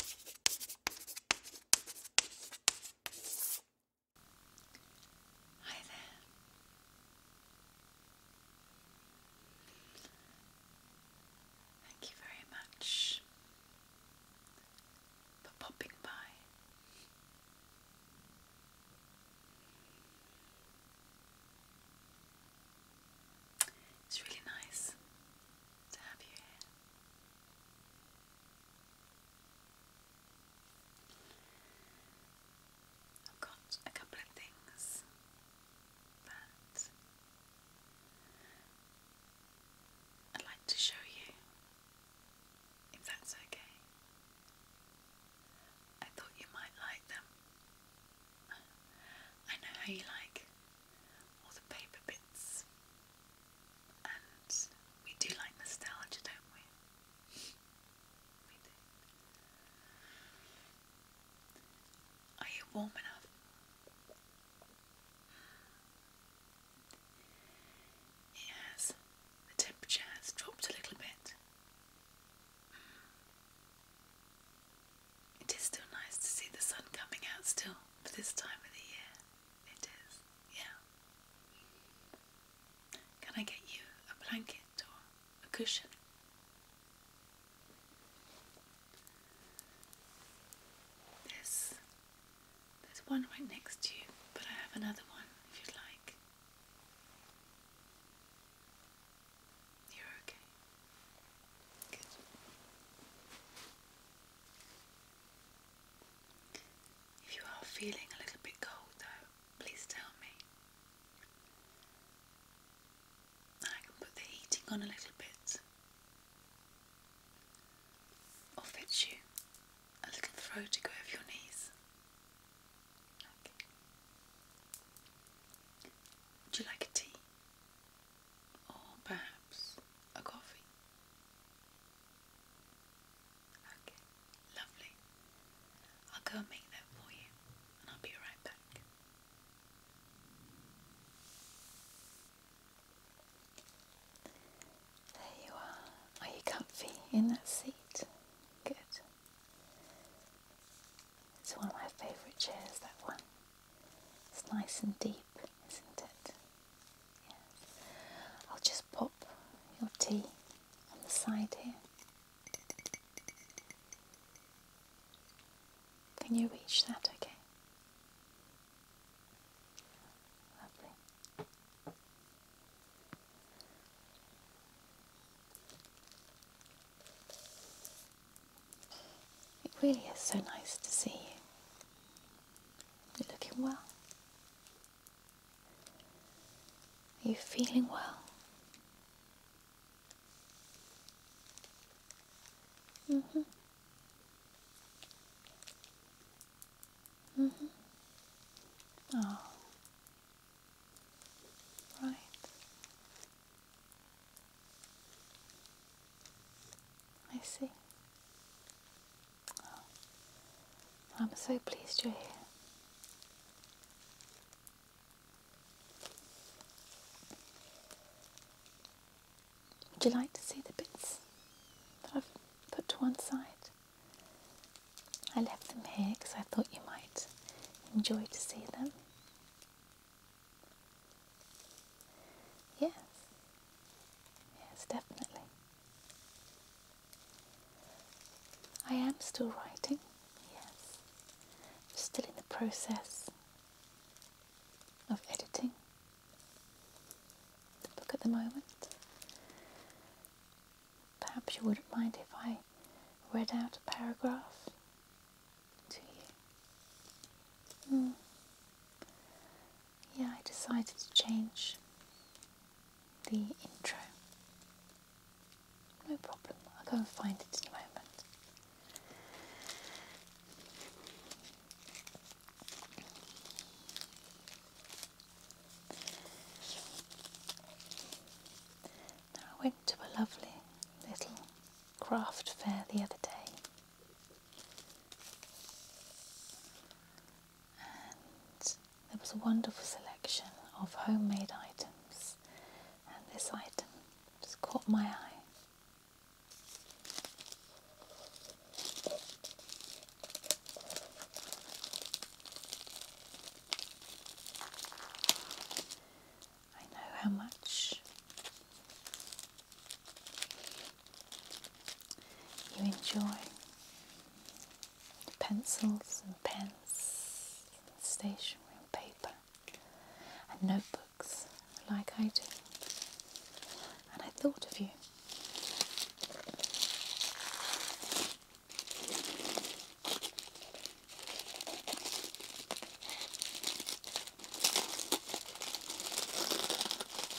Hi there. Thank you very much for popping by. It's really nice to have you here. I've got a couple of things that I'd like to show you, if that's okay. I thought you might like them. I know how you like all the paper bits and we do like nostalgia, don't we? Are you warm enough? It The temperature has dropped a little bit. It is still nice to see the sun coming out still for this time of the year. It is, yeah. Can I get you a blanket or a cushion? There's, there's one right next to you, but I have another one if you'd like. You're okay. Good. If you are feeling a little bit cold though, please tell me. I can put the heating on a little bit or fetch you a little throw to go over your knees. Okay. Would you like a tea? or perhaps a coffee. Okay, lovely. I'll go make that for you, and I'll be right back. There you are. Are you comfy in that seat? Good. It's one of my favourite chairs, that one. It's nice and deep isn't it? Yes. I'll just pop your tea on the side here. Can you reach that okay? Lovely. It really is so nice to see you. You're looking well. Are you feeling well? Mm-hmm. Mm-hmm. Oh. Right. I see. Oh. I'm so pleased you're here. Would you like to see the bits that I've put to one side? I left them here because I thought you might enjoy to see them. Yes. Yes, definitely. I am still writing, yes. still in the process of editing the book at the moment. Perhaps you wouldn't mind if I read out a paragraph to you. Mm yeah, I decided to change the intro. No problem, I'll go and find it in a moment. Now I went to a lovely little craft fair the other day there was a wonderful selection of homemade items and this item just caught my eye. I know how much you enjoy pencils and pens, and stationery and paper and notebooks like I do. And I thought of you.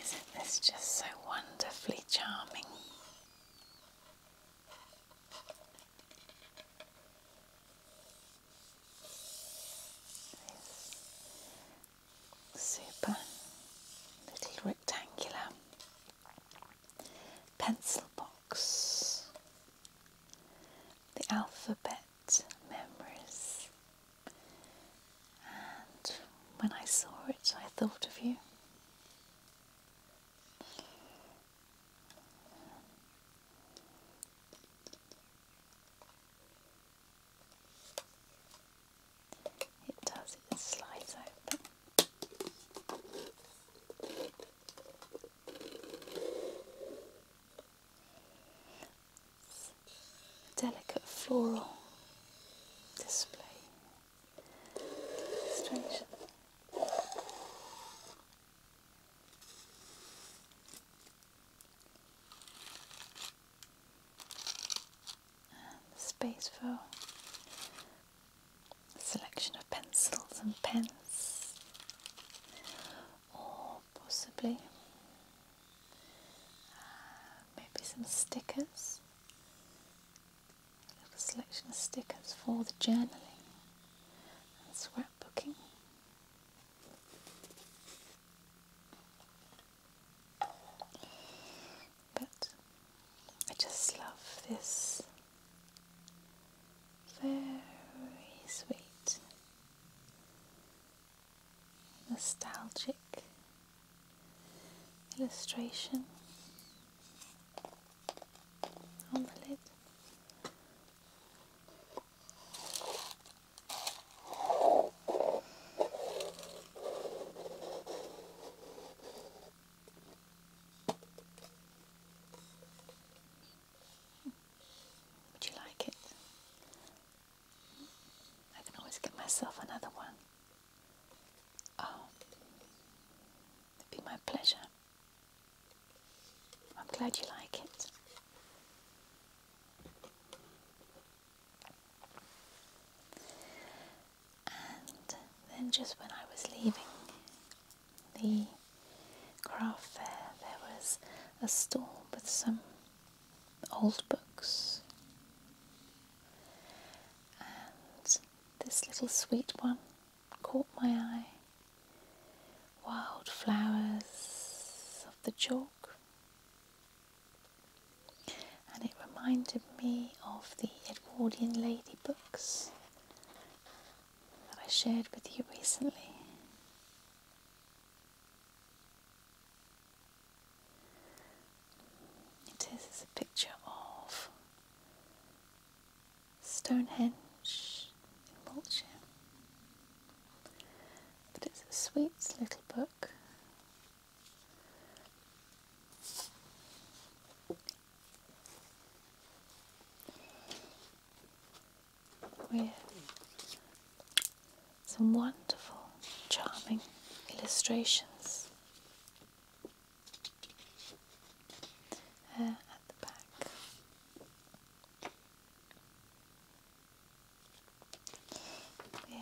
Isn't this just so wonderfully charming? super little rectangular pencil box. The alphabet memories and when I saw it, I thought of you. It does, it slides delicate floral display. Strange. space for selection of pencils and pens, or possibly uh, maybe some stickers. A little selection of stickers for the journaling and scrapbooking. But I just love this very sweet nostalgic illustration on the lid. Would you like it? I can always get myself another one. Oh, it'd be my pleasure. I'm glad you like it. And then just when I was leaving the craft fair, there was a stall with some old books. And this little sweet one caught my eye. Wild flowers of the chalk. And it reminded me of the Edwardian lady books that I shared with you recently. It is a picture of Stonehenge in Wiltshire. But it's a sweet little book. with some wonderful, charming illustrations at the back. With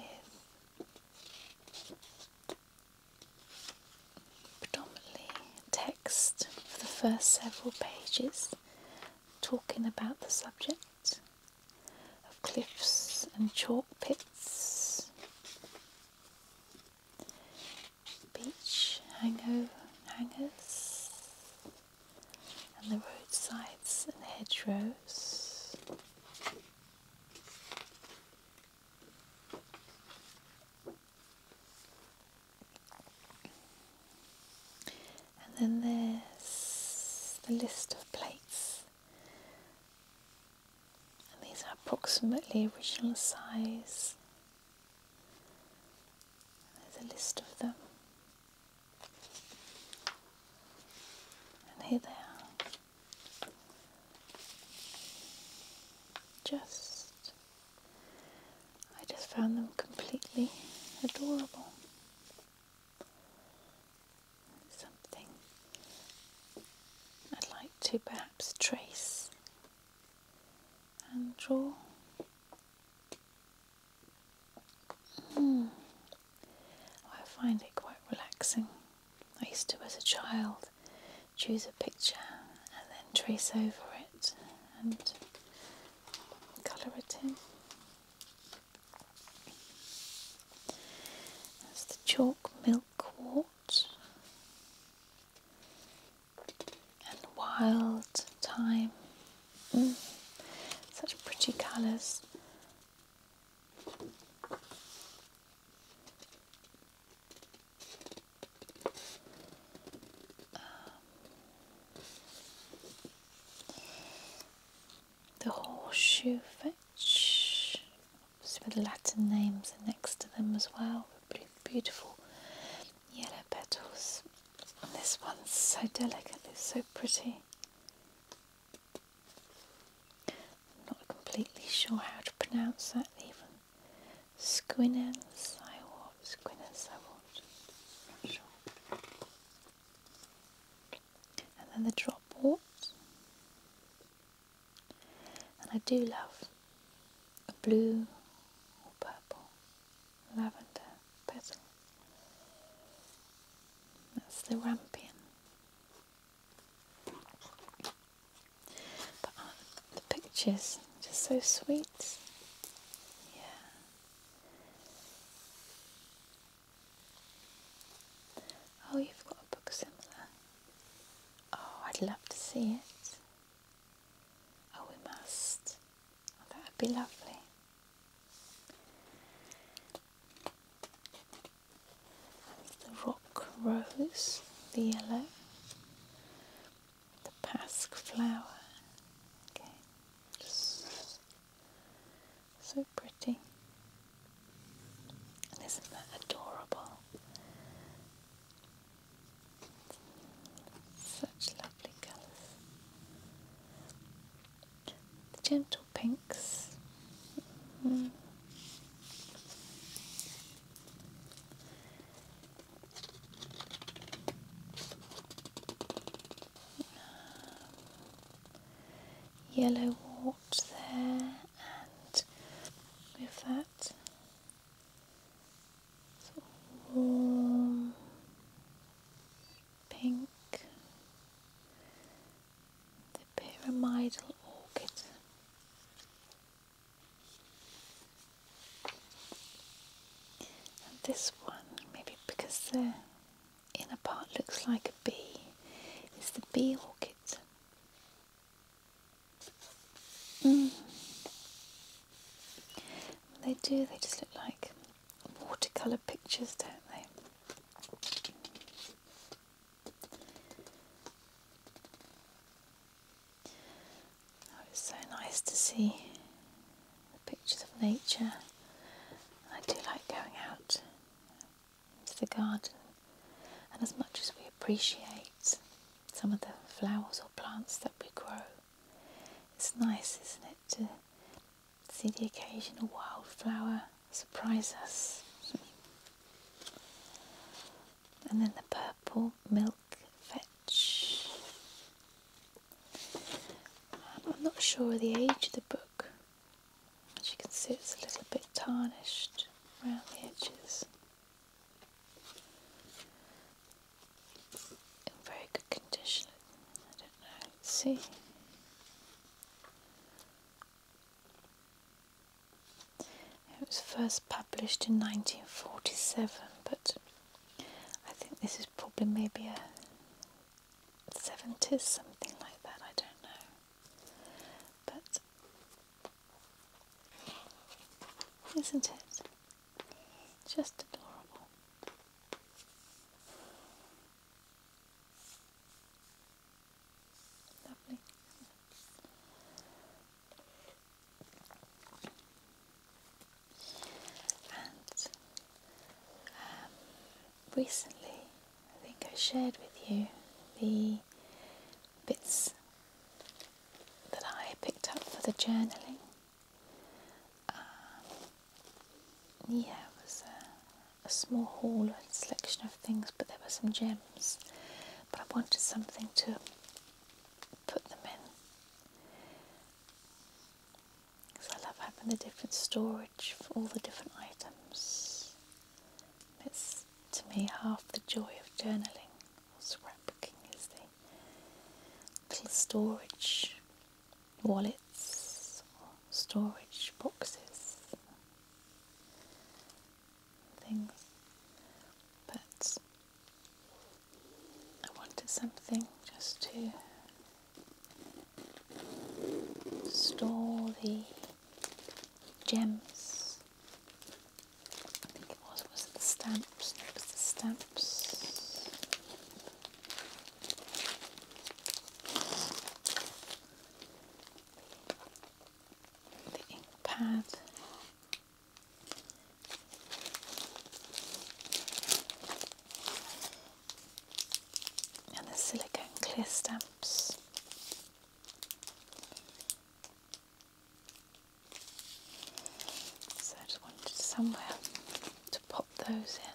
predominantly text for the first several pages talking about the subject of cliffs and chalk pits, beach hangover hangers, and the roadsides and hedgerows. And then there's the list of plates and these are approximately original size. There's a list of them, and here they are. Just, I just found them completely adorable something I'd like to perhaps trace and draw. Hmm. Oh, I find it quite relaxing. I used to, as a child, choose a picture and then trace over it and colour it in. That's the chalk milk quartz and wild thyme. Mm. Such pretty colours. Um, the horseshoe fetch the Latin names next to them as well, beautiful yellow petals. And this one's so delicate, it's so pretty. I'm not completely sure how to pronounce that even. Squinnens, I want, Squinnens, I want. Not sure. And then the drop wort. And I do love a blue or purple lavender petal. That's the rampion. But aren't uh, the pictures just so sweet? Yeah. Oh, you've got a book similar. Oh, I'd love to see it. Oh, we must. Oh, that would be lovely. The rock rose, the yellow, the pasque flower. Okay, so pretty. isn't that adorable? Such lovely colours. Gentle pinks. Mm-hmm yellow wart there and with that warm pink the pyramidal orchid and this one maybe because the inner part looks like a bee is the bee orchid Mm. They do, they just look like watercolour pictures, don't they? Oh, it's so nice to see the pictures of nature. I do like going out to the garden. And as much as we appreciate some of the flowers or plants that we grow, it's nice, isn't it, to see the occasional wildflower surprise us. and then the purple milk vetch. I'm not sure of the age of the book, as you can see it's a little bit tarnished around the edges. In very good condition, I don't know, see. It was first published in 1947, but I think this is probably maybe a 70s, something like that, I don't know. But isn't it just adorable? Lovely. And um, recently I think I shared with you the bits that I picked up for the journaling. Um, yeah, it was a, a small haul, a selection of things, but there were some gems. But I wanted something to put them in. Because I love having the different storage for all the different items. It's to me, half the joy of journaling or scrapbooking is the little storage wallets or storage boxes, things. But I wanted something just to store the gems. I think it was, was it the stamps? was the stamps. The ink pad. And the silicone clear stamps. So I just wanted somewhere to pop those in.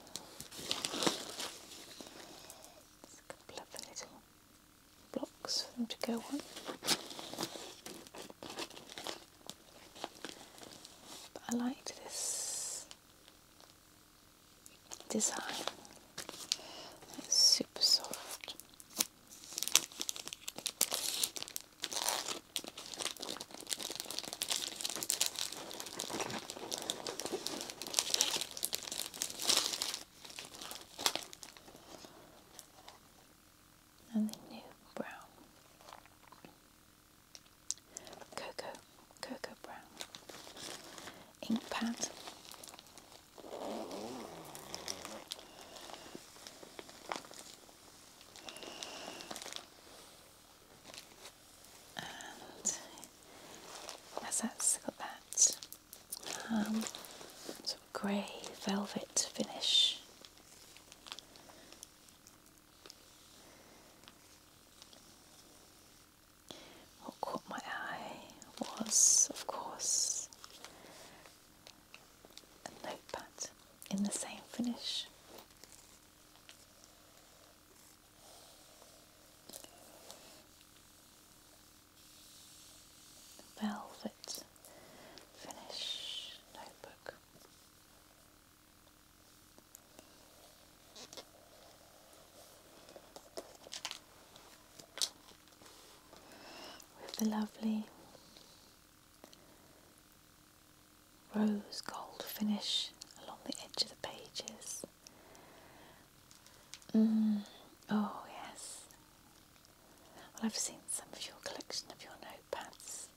a couple of little blocks for them to go on. But I like this design. It's super soft. And the new brown cocoa, cocoa brown ink pad as that's got that um, sort of grey velvet finish. What caught my eye was, of course, a notepad in the same finish. Velvet finish notebook with the lovely rose gold finish along the edge of the pages. Mm, oh, yes. Well, I've seen some of your collection of your notepads.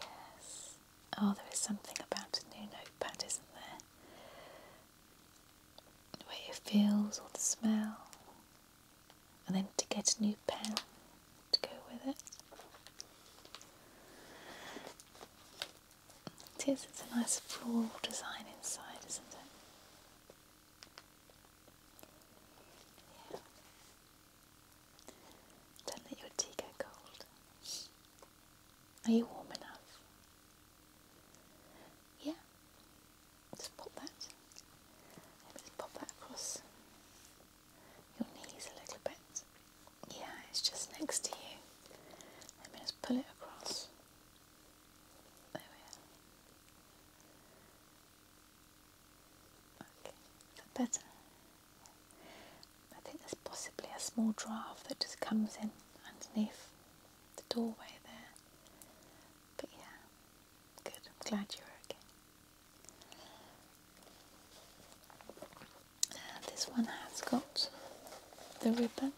Yes. Oh, there is something about a new notepad, isn't there? the way it feels or the smell, and then to get a new pen to go with it. It is, it's a nice floral design inside, isn't it? Don't let your tea get cold. Are you warm enough? Yeah, just pop that. Just pop that across your knees a little bit. Yeah, it's just next to you. Let me just pull it across. There we are. Okay, is that better? I think there's possibly a small draft that just comes in underneath the doorway there. But yeah, good. I'm glad you're okay. Uh, this one has got the ribbon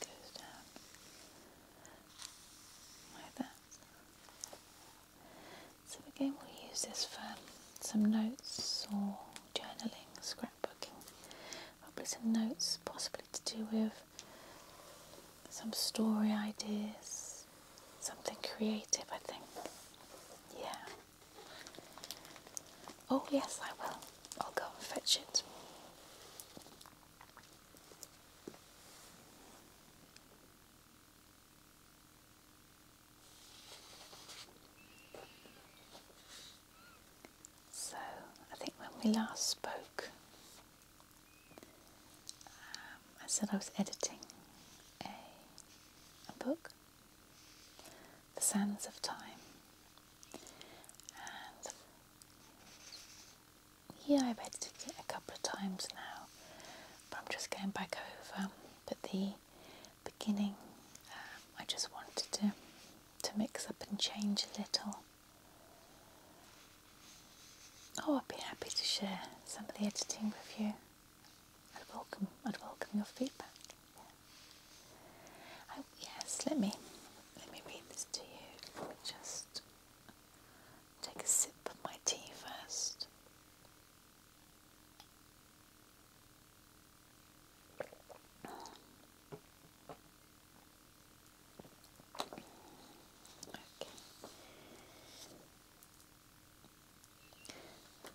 goes down like that. So again, we'll use this for some notes or journaling, scrapbooking, probably some notes possibly to do with some story ideas, something creative I think. Yeah. Oh yes, I will. I'll go and fetch it. So, I think when we last spoke, um, I said I was editing a, book, The Sands of Time, yeah, I've edited it a couple of times now, but I'm just going back over. But the beginning, um, I just wanted to to mix up and change a little. Oh, I'd be happy to share some of the editing with you. I'd welcome, I'd welcome your feedback. Oh yes, let me let me read this to you. just Take a sip of my tea first.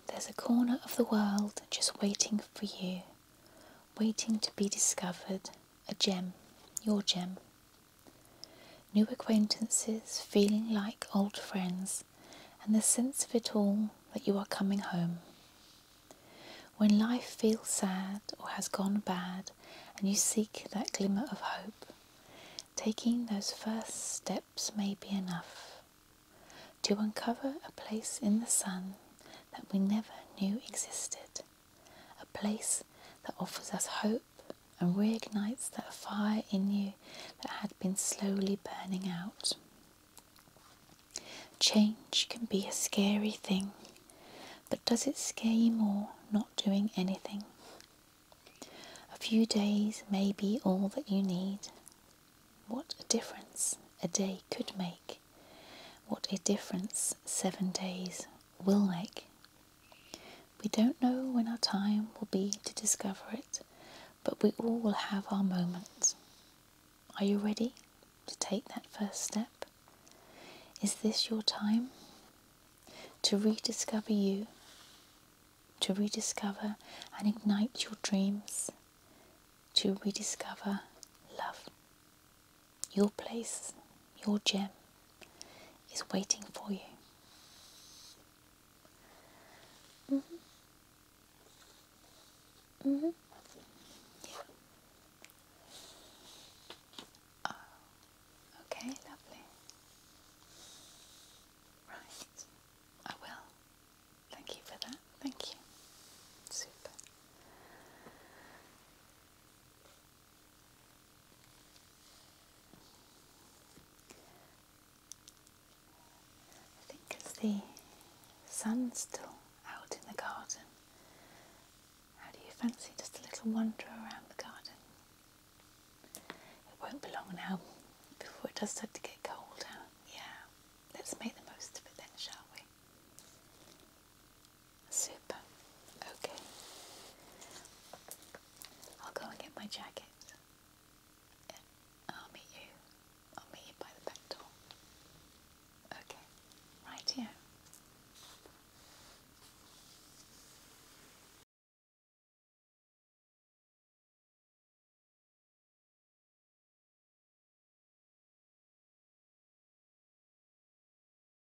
There's a corner of the world just waiting for you, waiting to be discovered. A gem, your gem, New acquaintances feeling like old friends, and the sense of it all that you are coming home. When life feels sad or has gone bad, and you seek that glimmer of hope, taking those first steps may be enough to uncover a place in the sun that we never knew existed a place that offers us hope and reignites that fire in you that had been slowly burning out. Change can be a scary thing, but does it scare you more not doing anything? A few days may be all that you need. What a difference a day could make. What a difference seven days will make we don't know when our time will be to discover it, but we all will have our moment. Are you ready to take that first step? Is this your time to rediscover you, to rediscover and ignite your dreams, to rediscover love? Your place, your gem, is waiting for you. -hmm. -hmm. Yeah. Oh, okay, lovely. Right, I will. Thank you for that. Thank you. Super. I think it's the sun still out in the garden. How do you fancy just a little wander around the garden? It won't be long now before it does start to get cold. Yeah, let's make the most of it then, shall we? Super. Okay. I'll go and get my jacket. I'll meet you. I'll meet you by the back door. Okay. Right here.